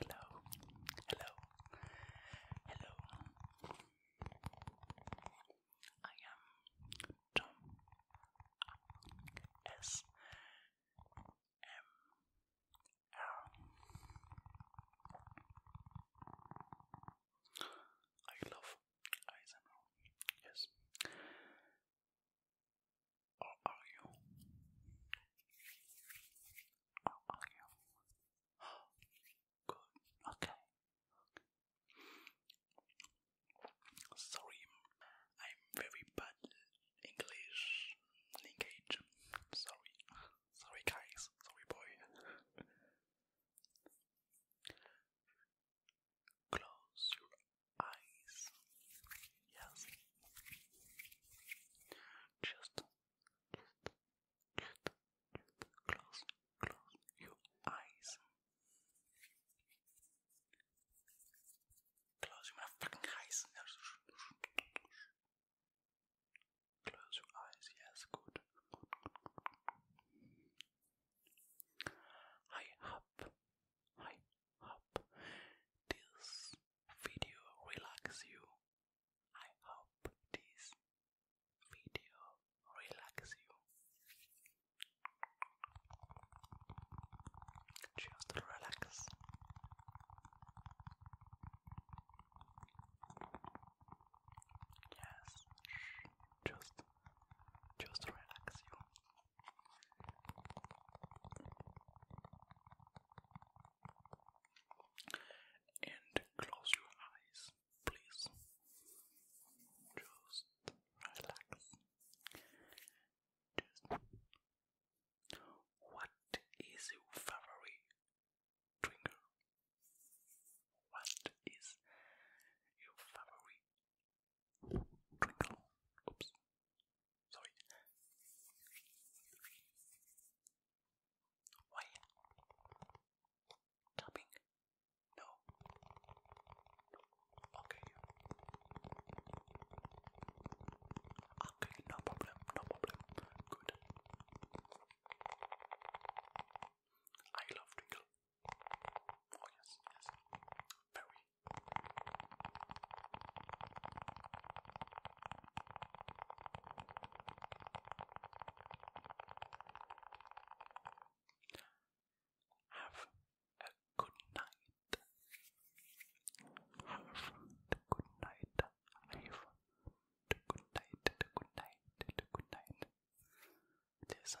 Hello, hello, hello. I am Tom S M R. I love ASMR. Yes. Or are you? Or are you? Good. Okay. Sorry, I'm very bad English language. Sorry, sorry guys, sorry boy. Close your eyes. Yes. Just, close, close your eyes. Close your fucking eyes. Close your eyes. Yes, good. I have, I hope this video relax you. I hope this video relax you. Just relax. Yes, just, just relax you. And close your eyes, please. Just relax. Just. What is your favorite drinker? What is your favorite Oops. Sorry. Why? Tapping? No. Okay. Okay, no problem, no problem. Good. I love Twinkle. Oh yes, yes. Very. Have a good night. Have a good night. Have a good night. The good good night. Listen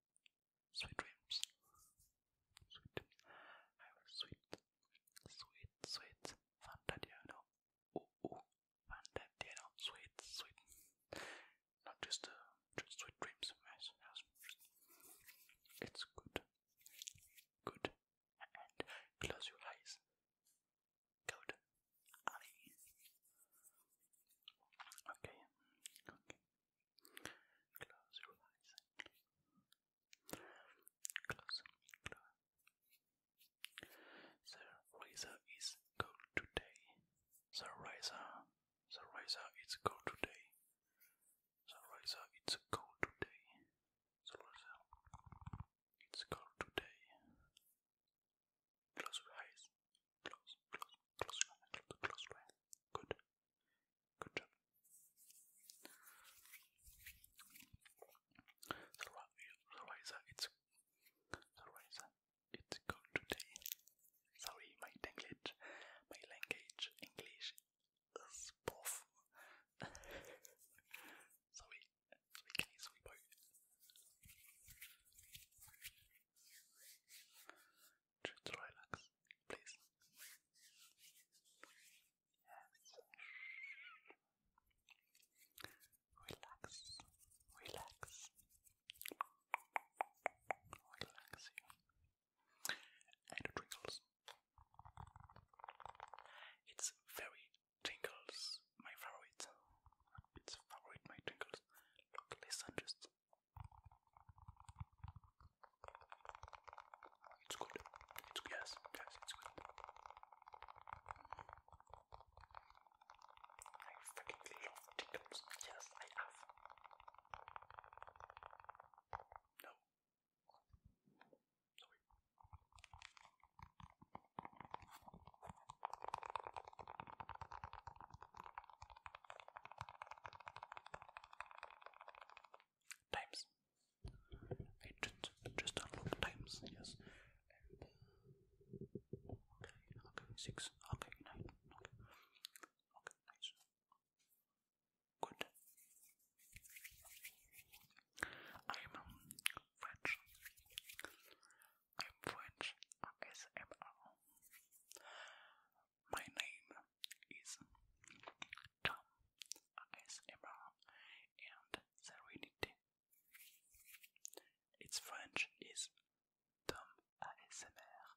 Sweet dreams. Sweet I will sweet, sweet, sweet. Fantadiano. Oh, oh. Sweet, sweet. Not just, uh, just sweet dreams. It's good. Good. And close your eyes. Good allez. Okay, okay. Close your eyes. Close, The razor is cold today. The razor, the razor is cold today. The razor is cold today. The razor, it's cold today. Close your eyes. Close, close, close your close your Good. Good job. The it's the it's cold today. Sorry, my language, my language, English is poor. Sorry, just relax, please. Yes. Relax, relax, relax you. And the twinkles. It's very Twinkles, my favorite. It's favorite, my Twinkles. Look, listen, just. It's good. It's yes, yes, it's good. I freaking love Twinkles. Yes, I have. No. Sorry. Times. I just just unlock times. Yes. okay. Okay. Six. Okay. Nine. Okay. Okay. Nice. Good. I am French. I'm French ASMR. My name is Tom ASMR and Serenity. Its French is Tom ASMR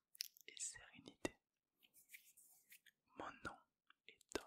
et Sérénité. Mon nom est Tom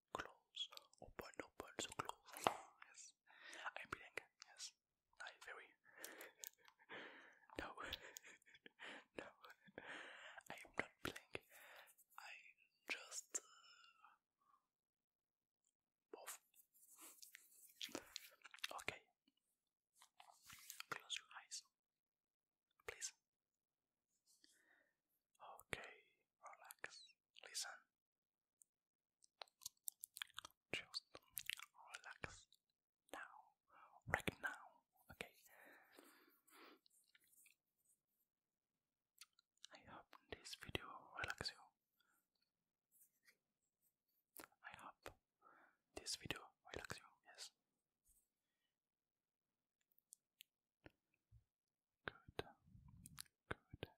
close, open, open, so close. yes, I'm blank. Yes, I very. no, no, I am not blank. I just. Uh, okay. Close your eyes please. Okay, relax. Listen. Just relax now. Right now. Okay. I hope this video relax you. I hope this video relax you, yes. Good. Good. Good.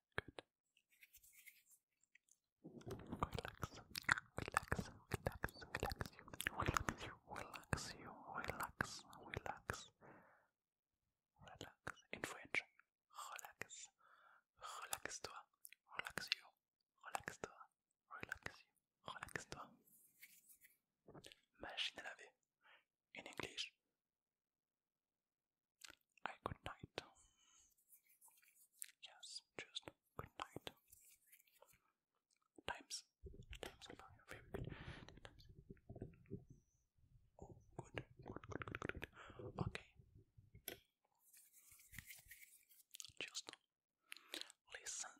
Relax. Relax. Relax. Relax you. Relax you. Relax you. Relax. Relax. Relax. Relax. Relax-toi. Relax you. Relax-toi. Relax Relax-toi. Machine à laver. in English. I good night. Yes, just good night. Times, times are very good. Oh, good, good, good, good, good. Okay. Just listen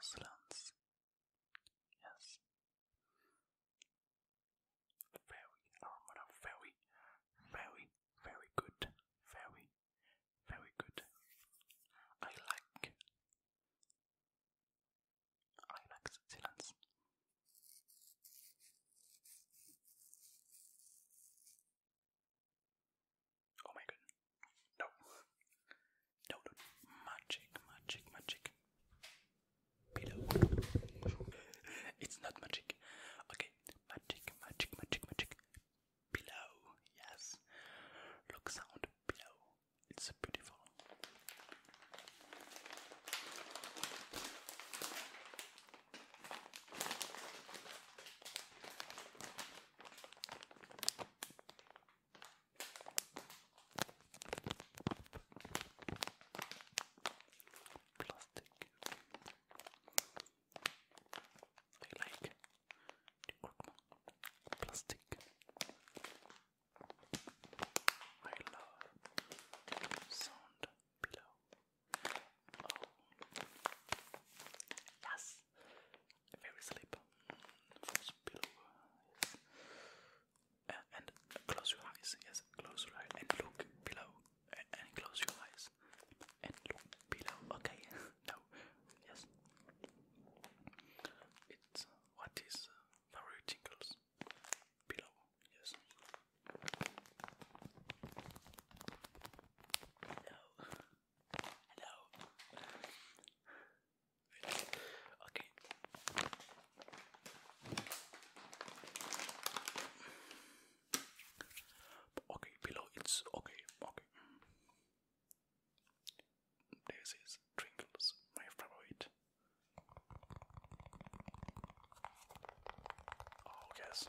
Silence. Yes. Very, very, very, very good. Very, very good. I like. I like Switzerland's. Oh my god. No. No, Magic, magic, magic. Pillow. it's not magic. Okay. Magic, magic, magic, magic. Pillow. Yes. Look sound. Pillow. It's beautiful. Plastic. I like the Krugman plastic. I love sound below. Yes. Very sleep. First pillow. Yes. and close your eyes. Yes, close your eyes and look below. and close your eyes and look below. Okay. no. Yes. It's what is very uh, tinkles below. Yes. No. Hello. Okay. Okay, below it's okay, okay. This Twinkles, my favorite. Oh yes.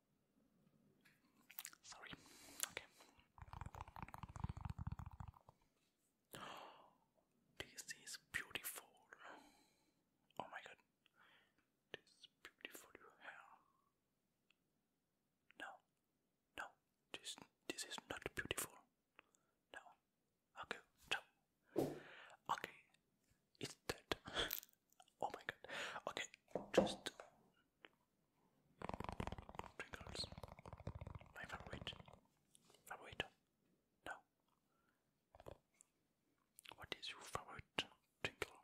Sorry. Okay. This is beautiful. Oh my god. This beautiful your hair. No. No. This this is not beautiful. No. Okay. No. Okay. It's dead. oh my god. Okay. Just Pringles. My favorite. Favorite? No. What is your favorite Trinkle?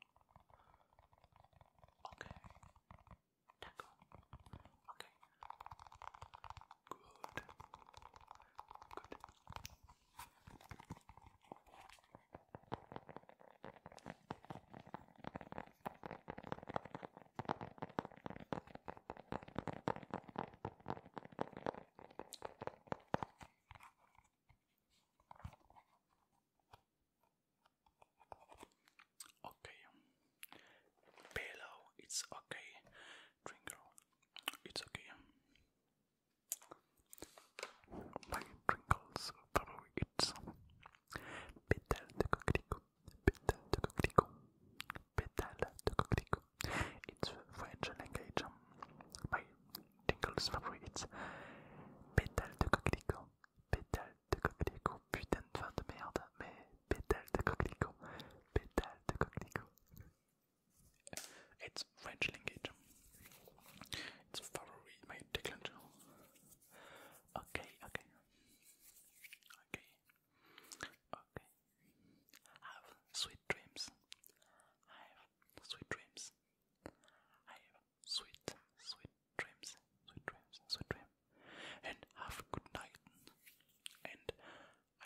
Okay. Taco. Okay. Good. Good. Okay, pillow, it's okay, drinker, it's okay. My trinkles follow it. Pétale de coquelicot, pétale de coquelicot, French language. My um, trinkles follow it. Pétale de coquelicot, pétale de coquelicot. Putain It's French language. It's February, my Declan. Okay, okay. Okay. Okay. Have sweet dreams. have sweet dreams. have sweet, sweet dreams. Sweet dreams, sweet dreams. And have a good night. And I